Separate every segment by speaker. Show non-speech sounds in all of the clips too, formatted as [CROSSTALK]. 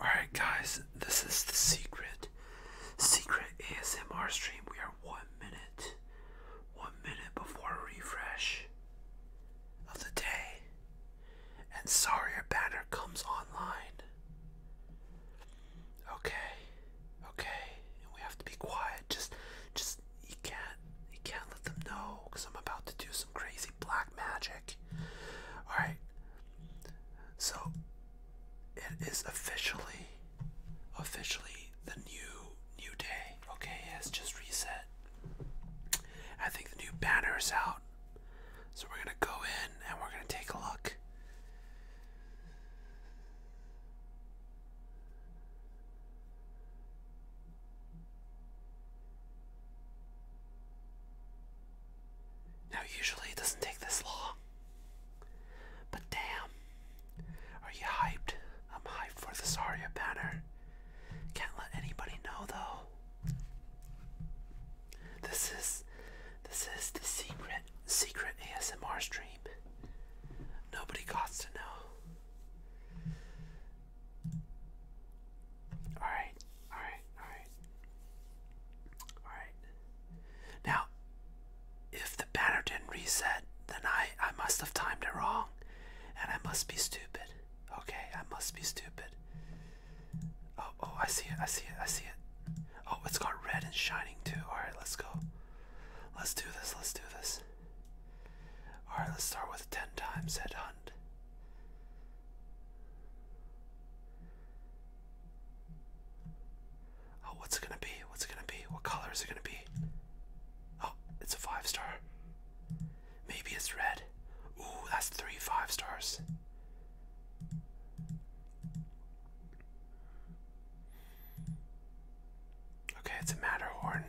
Speaker 1: Alright, guys, this is the secret. Secret ASMR stream. We are one minute. One minute before refresh of the day. And Saria Banner comes online. Okay. Okay. we have to be quiet. Just just you can't you can't let them know because I'm about to do some crazy black magic. Alright. So it is officially officially the new new day. Okay, it's just reset. I think the new banner is out. So we're gonna go in and we're gonna take a look. Now, usually it doesn't take this long, but damn, are you hyped? I'm hyped for the Saria banner. Can't let anybody know though. This is this is the secret secret ASMR stream. Nobody got to know. Alright, alright, alright. Alright. Now, if the banner didn't reset, then I, I must have timed it wrong. And I must be stupid. Okay, I must be stupid. Oh, oh, I see it, I see it, I see it. Oh, it's got red and shining too. Alright, let's go. Let's do this, let's do this. Alright, let's start with 10 times head on Oh, what's it gonna be? What's it gonna be? What color is it gonna be? Oh, it's a five star. Maybe it's red. Ooh, that's three five stars. Okay, it's a Matterhorn.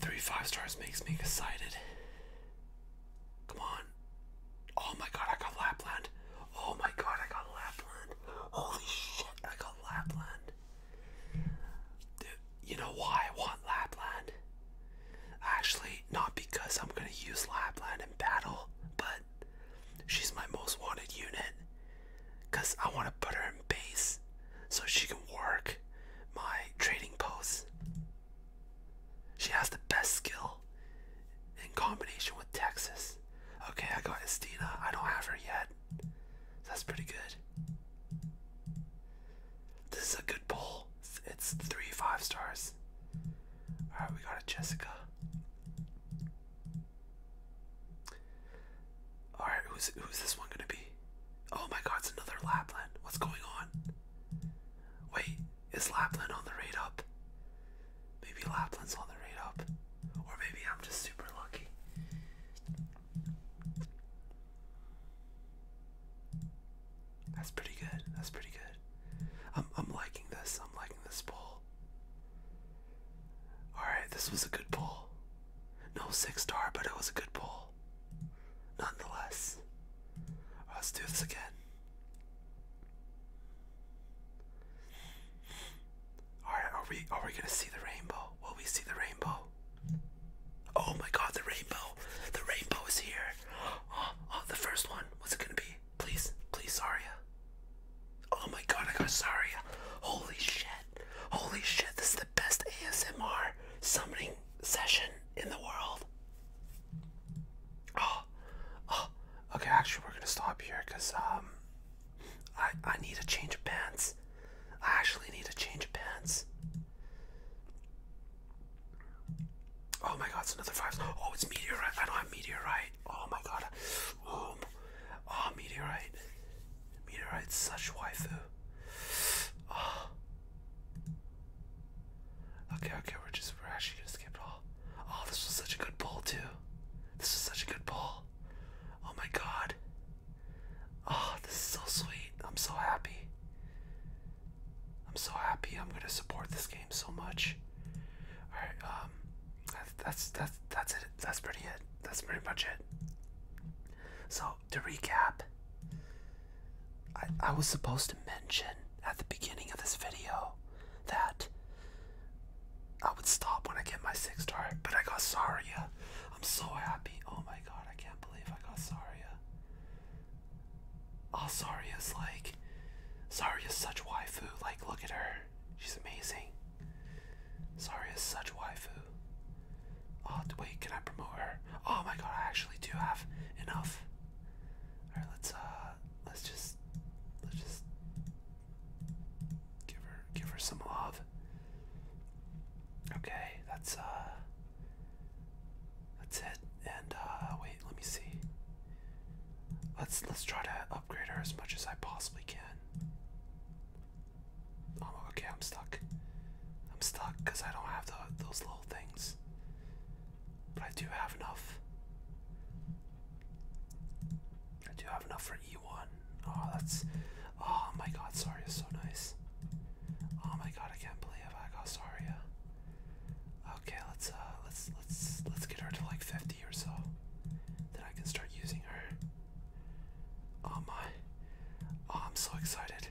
Speaker 1: Three five stars makes me excited. Come on. Oh my god, I got Lapland. Oh my god, I got Lapland. Holy shit, I got Lapland. Dude, you know why I want Lapland? Actually, not because I'm gonna use Lapland in battle, but she's my most wanted unit. Cause I wanna put her in base so she can work my trading post. She has the best skill in combination with Texas. Okay, I got Estina. I don't have her yet. That's pretty good. This is a good pull. It's three five stars. Alright, we got a Jessica. All right, who's who's this one gonna be? Oh my God, it's another Lapland. What's going on? Wait, is Lapland on the raid up? Maybe Lapland's on the raid up, or maybe I'm just super lucky. That's pretty good. That's pretty good. I'm I'm liking this. I'm liking this poll. Alright, this was a good pull. No six star, but it was a good pull. Nonetheless. let's do this again. Alright, are we are we gonna see the rainbow? Will we see the rainbow? Oh my god, the rainbow! The rainbow is here! [GASPS] oh the first one, what's it gonna be? please, please, Saria. Oh my god, I got Saria. Holy shit. Holy shit, this is the best ASMR summoning session in the world. Oh, oh, okay, actually, we're gonna stop here because, um, I, I need a change of pants. I actually need a change of pants. Oh my god, it's another five. Oh, it's meteorite. I don't have meteorite. Oh my god. Boom. Oh, meteorite. Meteorite, such waifu. Oh. Okay, okay, we're just we're actually gonna skip it all. Oh, this was such a good pull too. This was such a good pull. Oh my god. Oh, this is so sweet. I'm so happy. I'm so happy. I'm gonna support this game so much. All right. Um, that's that's that's it. That's pretty it. That's pretty much it. So to recap, I I was supposed to mention at the beginning of this video that I would stop when I get my six star, but I got Saria. I'm so happy. Oh my god, I can't believe I got Saria. Oh, is like like, is such waifu. Like, look at her. She's amazing. is such waifu. Oh, wait, can I promote her? Oh my god, I actually do have enough. Alright, let's, uh, let's just, let's just give her, give her some love. Okay, that's, uh, that's it. And, uh, wait let me see. Let's let's try to upgrade her as much as I possibly can. Oh, okay, I'm stuck. I'm stuck because I don't have those little things. But I do have enough. I do have enough for E1. Oh, that's. Oh my god, Saria is so nice. Oh my god, I can't believe I got Saria. Okay, let's uh, let's let's let's get her to like 50 or so. Then I can start using her. Oh my. Oh, I'm so excited.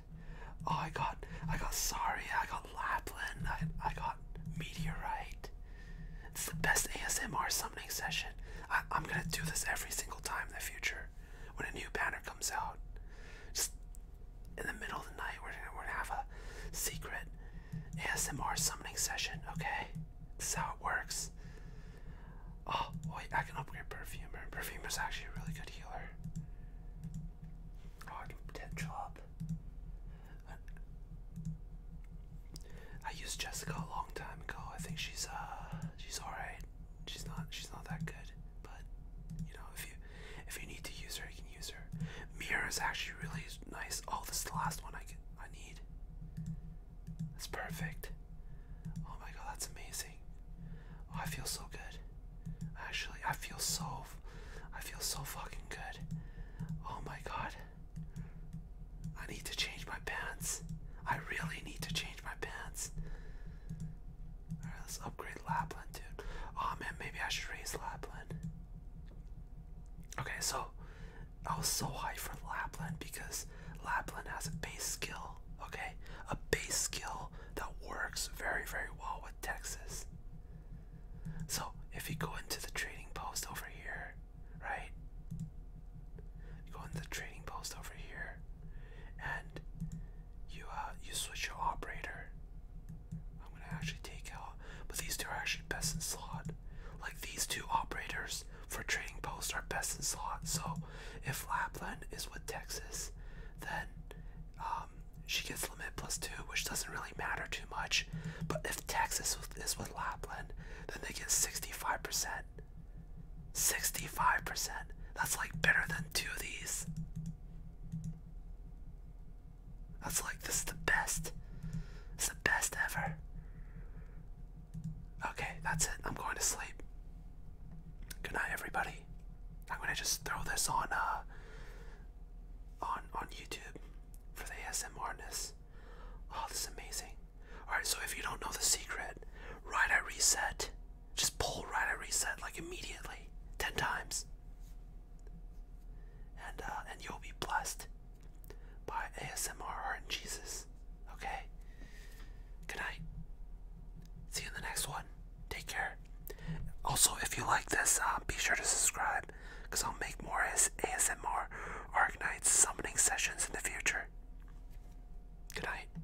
Speaker 1: Oh, I got I got sorry, I got Lapland, I I got Meteorite. It's the best ASMR summoning session. I'm gonna do this every single time in the future when a new banner comes out. Just in the middle of the night. We're gonna, we're gonna have a secret ASMR summoning session. Okay, this is how it works. Oh boy, I can upgrade perfumer. Perfumer's actually a really good healer. Oh, I can potential up. I used Jessica a long time ago. I think she's uh she's alright. She's not she's not that good, but you know if you if you need to use her, you can use her. Mirror is actually really nice. Oh, this is the last one I I need. That's perfect. Oh my god, that's amazing. Oh, I feel so good. Actually, I feel so, I feel so fucking good. Oh my god. I need to change my pants. I really need to change my pants let's upgrade Lapland, dude. Oh man, maybe I should raise Lapland. Okay, so I was so high for Lapland because Lapland has a base skill, okay? A base skill that works very, very well with Texas. So if you go into the trading post over here, right? You go into the trading post over here, and you uh, you switch your operator. I'm gonna actually take out, but these two are actually best in slot. Like these two operators for trading post are best in slot. So if Lapland is with Texas, then um, she gets limit plus two, which doesn't really matter too much. But if Texas is with Lapland, then they get 65%. 65%. That's like better than two of these. That's like, this is the best. It's the best ever. Okay, that's it. I'm going to sleep. Good night, everybody. I'm gonna just throw this on uh on on YouTube for the ASMRness. Oh, this is amazing. Alright, so if you don't know the secret, right at reset, just pull right at reset like immediately, ten times, and uh, and you'll be blessed by ASMR and Jesus. Okay. Good night. See you in the next one. Take care. Also, if you like this, uh, be sure to subscribe because I'll make more ASMR Arc Nights summoning sessions in the future. Good night.